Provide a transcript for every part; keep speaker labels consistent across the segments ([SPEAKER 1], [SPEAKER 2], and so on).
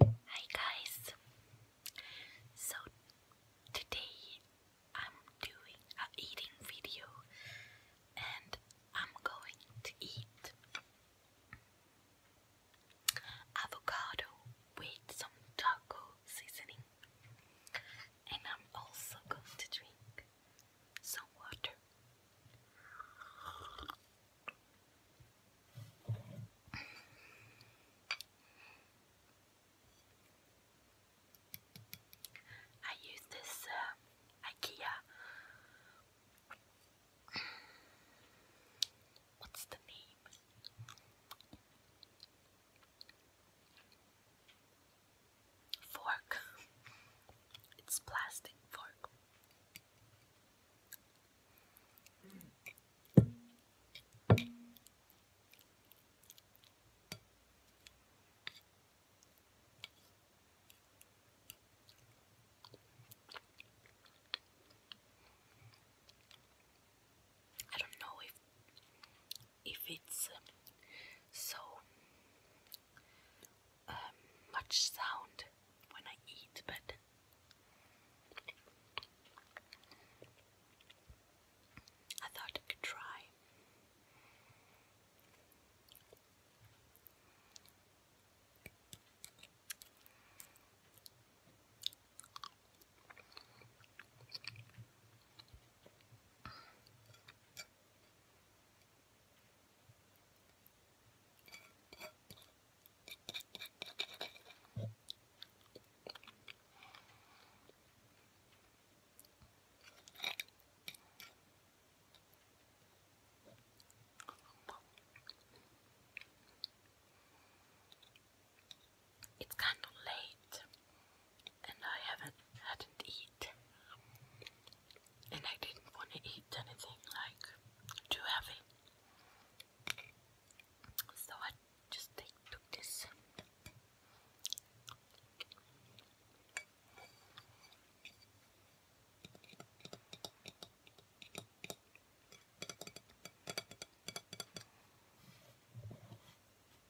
[SPEAKER 1] Hi guys! So today I'm doing a eating video and I'm going to eat avocado with some taco seasoning and I'm also going to drink some water. I use this um, IKEA. What's the name? Fork. It's plastic fork. I don't know if if it's um, so um, much sound when I eat, but I thought I could try. It's kind of late and I haven't hadn't eaten and I didn't want to eat anything like too heavy. So I just take, this.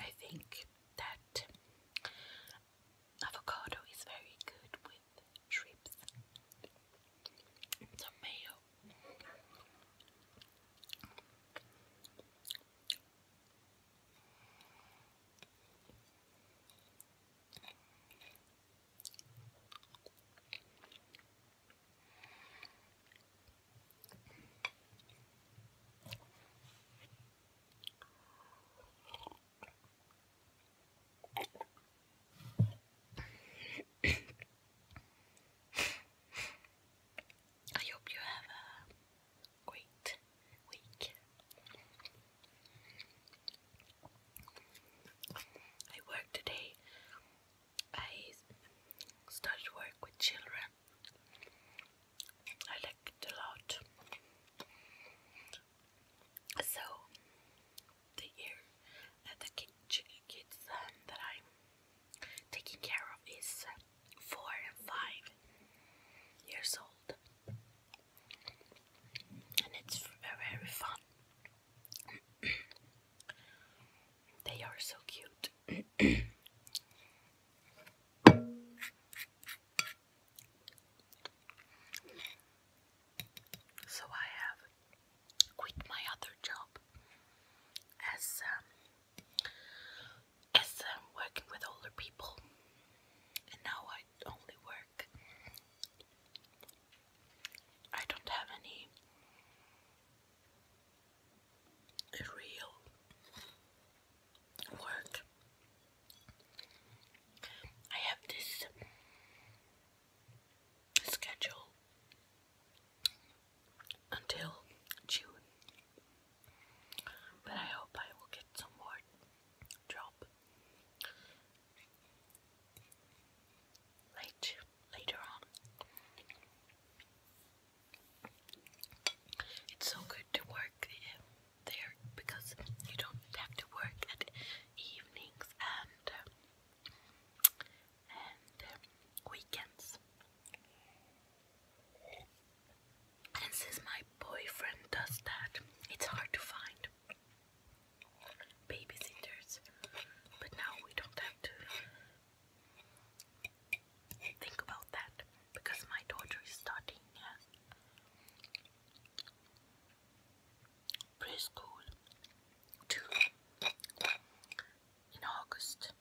[SPEAKER 1] I think that avocado is very good with shrimps. Tomato. I hope you have a great week. I work today. I started work with children I like it a lot. So, the year that uh, the kids um, that I'm taking care of is four and five years old, and it's very fun. they are so cute. So I have quit my other job as um, as um, working with older people, and now I only work. I don't have any a real work. I have this schedule until June, but I hope I will get some more job late later on. It's so good to work um, there because you don't have to work at evenings and um, and um, weekends. And since my boyfriend does that, it's hard to find babysitters. But now we don't have to Think about that because my daughter is starting yes. preschool in August.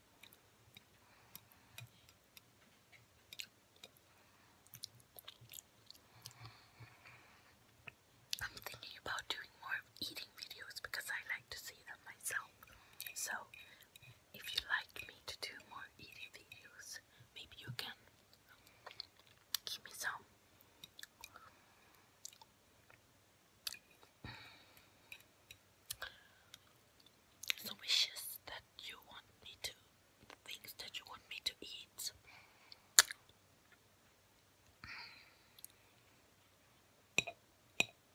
[SPEAKER 1] I'm thinking about doing more eating videos because I like to see them myself. So, if you like me to do more eating videos, maybe you can give me some. So wishes that you want me to, things that you want me to eat.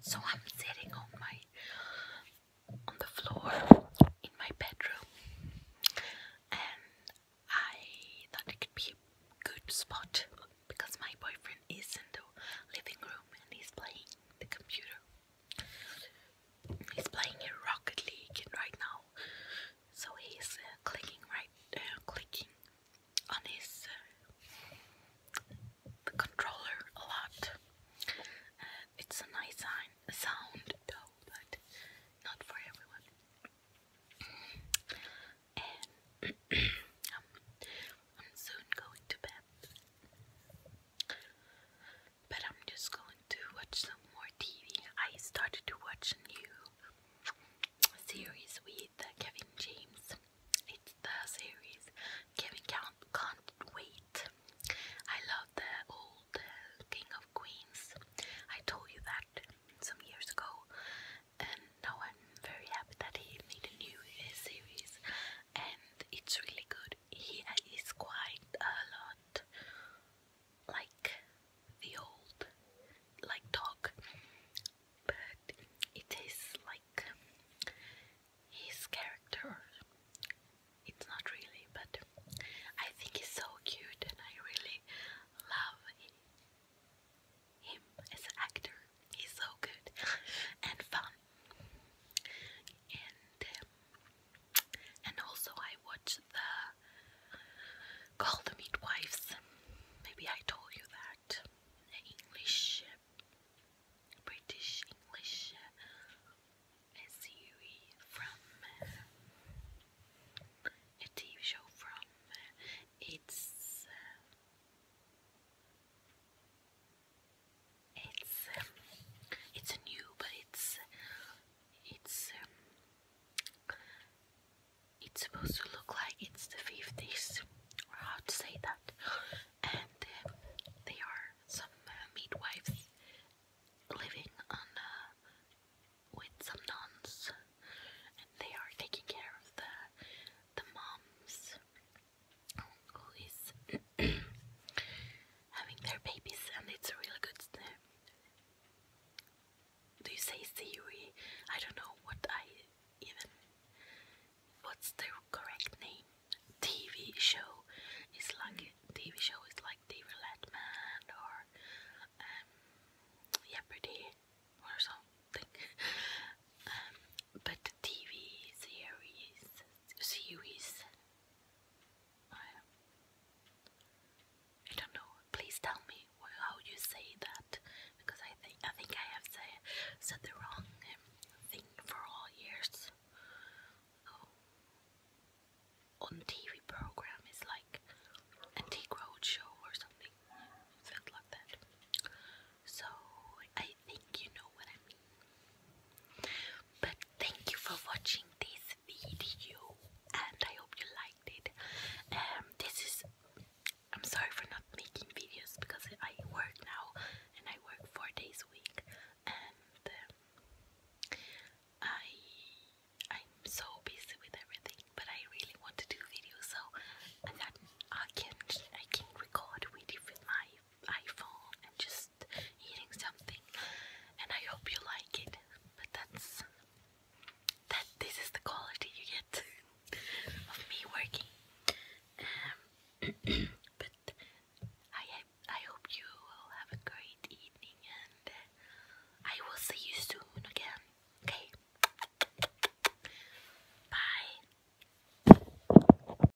[SPEAKER 1] So I'm sitting on my on the floor in my bedroom and I thought it could be a good spot because my boyfriend is in the living room and he's playing the computer. He's playing Rocket League right now so he's uh, clicking right, uh, clicking on his the uh, controller a lot. it's a nice sign, sound though, but not for everyone. And um, I'm soon going to bed, but I'm just going to watch some more TV. I started to watch a new series with Kevin James. It's the series Kevin Can't, can't Wait. I love the old uh, King of Queens. I told you that some years ago, and now I'm very happy that he made a new uh, series, and it's really good. He uh, is quite a lot like the old like dog but it is like his character it's not really but I think he's so cute and I really love him as an actor he's so good and fun and um, and also, I watched the Call the Midwives. Maybe I told you that. English, British English uh, uh, a series from a TV show from uh, it's. it's um, it's new, but it's it's um, it's supposed to look like it's the 50s or how to say that and um, they are some uh, midwives living on uh, with some nuns and they are taking care of the the moms who is having their babies and it's a really good uh, do you say theory? I don't know what I even. What's the correct name? TV show is like TV show is like The TV Man or um, Jeopardy or something. um, but TV series series I don't know. Please tell me how you say that, because I think I think I have say, said the wrong um, thing for all years. Oh. On TV program is like Antique Roadshow or something, something like that. So I think you know what I mean. But thank you for watching this video and I hope you liked it. Um, this is I'm sorry for not making videos because I work now and I work four days a week and I I'm so busy with everything but I really want to do videos so and I can I can record with my iPhone and just eating something and I hope you like it. But that's that this is the quality you get of me working. Um, but I I hope you will have a great evening and uh, I will see you soon again. Okay. Bye.